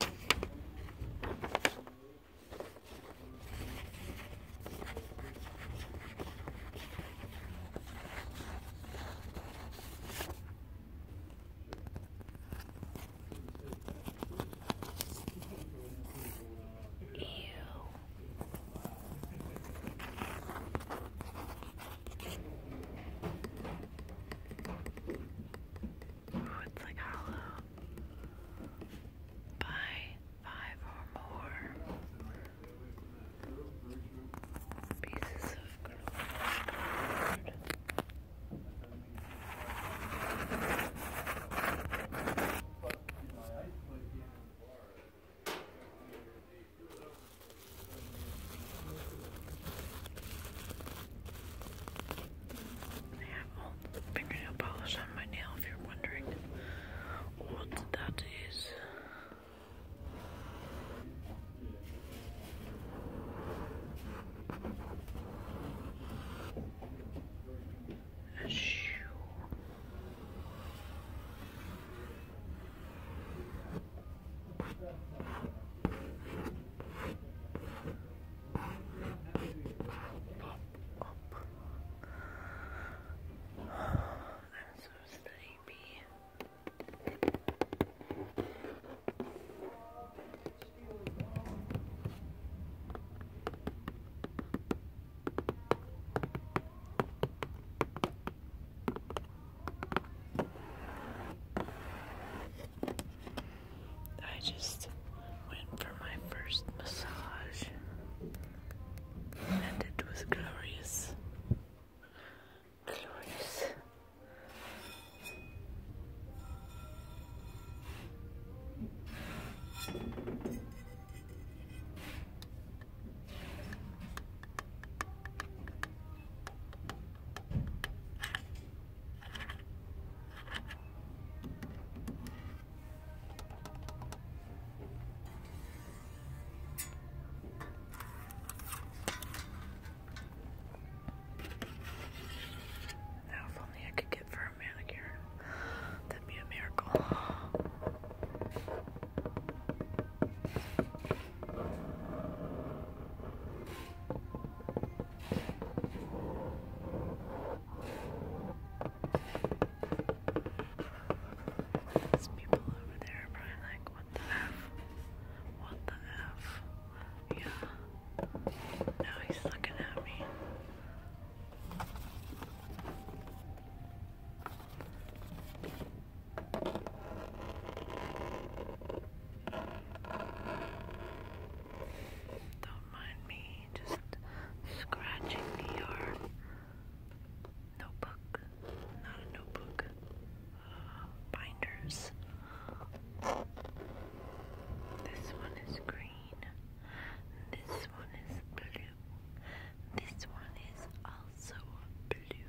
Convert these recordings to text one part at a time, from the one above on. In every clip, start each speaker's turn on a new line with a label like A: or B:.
A: Ew. Ooh, it's like hollow. Buy five or more pieces of cardboard. Old fingernail polish on my nail, if you're wondering what that is. A shoe. I'm so sleepy. I just went for my first massage, and it was glorious. Glorious. Now, if only I could get for a manicure, that'd be a miracle. These people over there are probably like, what the F? What the F? Yeah. Now he's looking at me. Don't mind me just scratching the R. Notebook. Not a notebook. Uh, binders. This one is green. This one is blue. This one is also blue.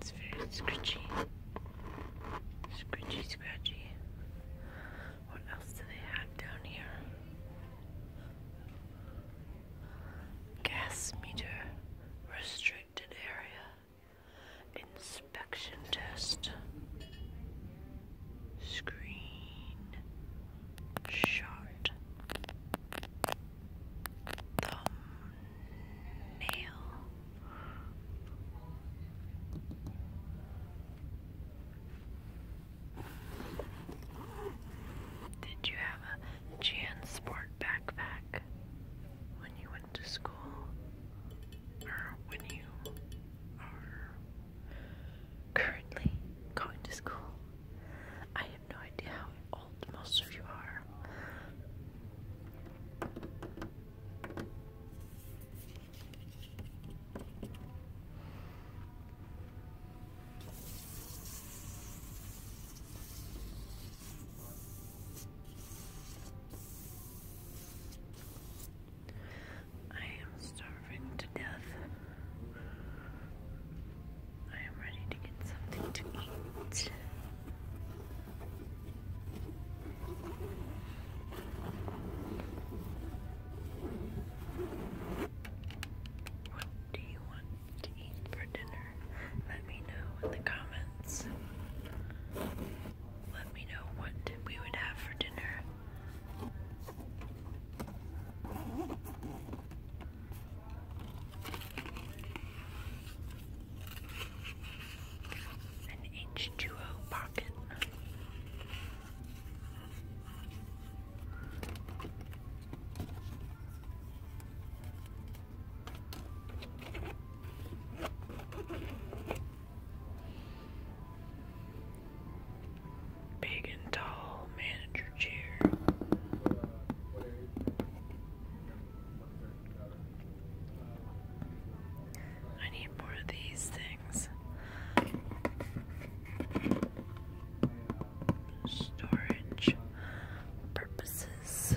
A: It's very scratchy. Scratchy, scratchy. What else do they have down here? Gas meter restricted area. Inspection test. Screen shot. Thumbnail. Did you have a JanSport backpack when you went to school? Or when you are currently going to school. I have no idea how old most of you are. I am starving to death. I am ready to get something to eat. What do you want to eat for dinner? Let me know in the comments. Let me know what we would have for dinner. An H2O pocket. Big and tall manager chair. I need more of these things. Storage purposes.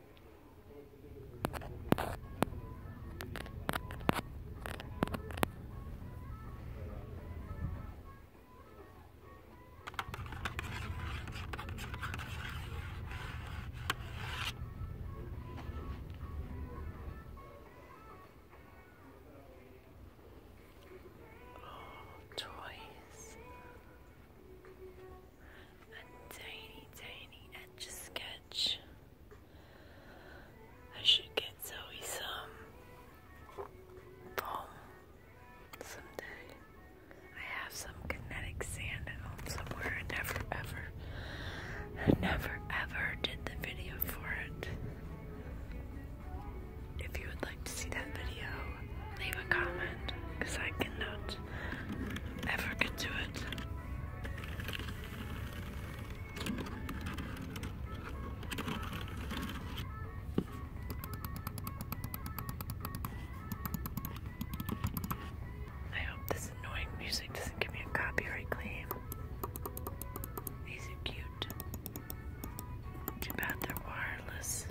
A: Oh, toys a tiny, tiny etch sketch. I should get Zoe some foam someday. I have some kinetic sand at home somewhere. I never ever, never ever did the video for it. If you would like to see that video, leave a comment because I cannot ever could do it. I hope this annoying music doesn't give me a copyright claim. These are cute. Too bad they're wireless.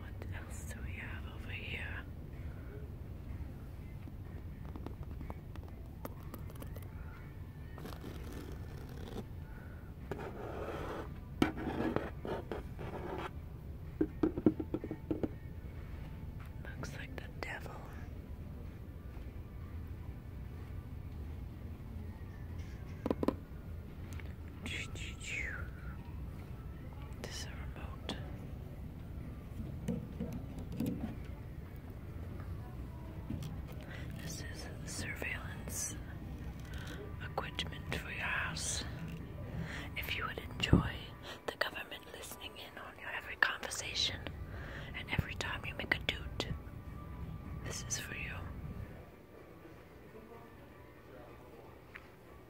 A: What else do we have over here? Looks like the devil. This is surveillance equipment for your house. If you would enjoy the government listening in on every conversation and every time you make a doot, this is for you.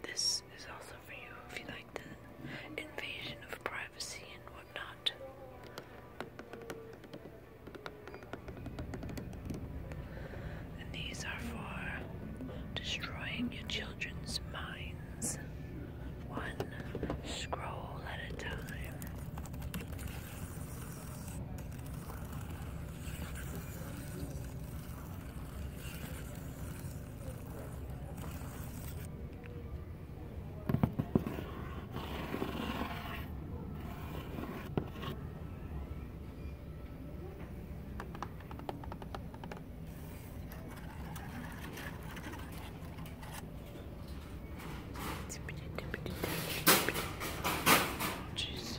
A: This is also for you if you like the invasion of privacy and whatnot. And these are for destroying your children's minds, one scroll at a time. Jeez.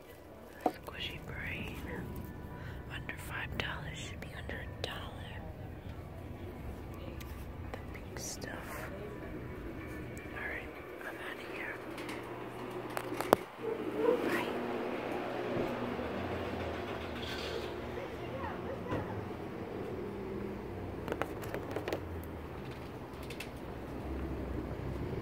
A: squishy brain. Under five dollars should be under a dollar. The pink stuff. Alright, I'm out of here. Bye.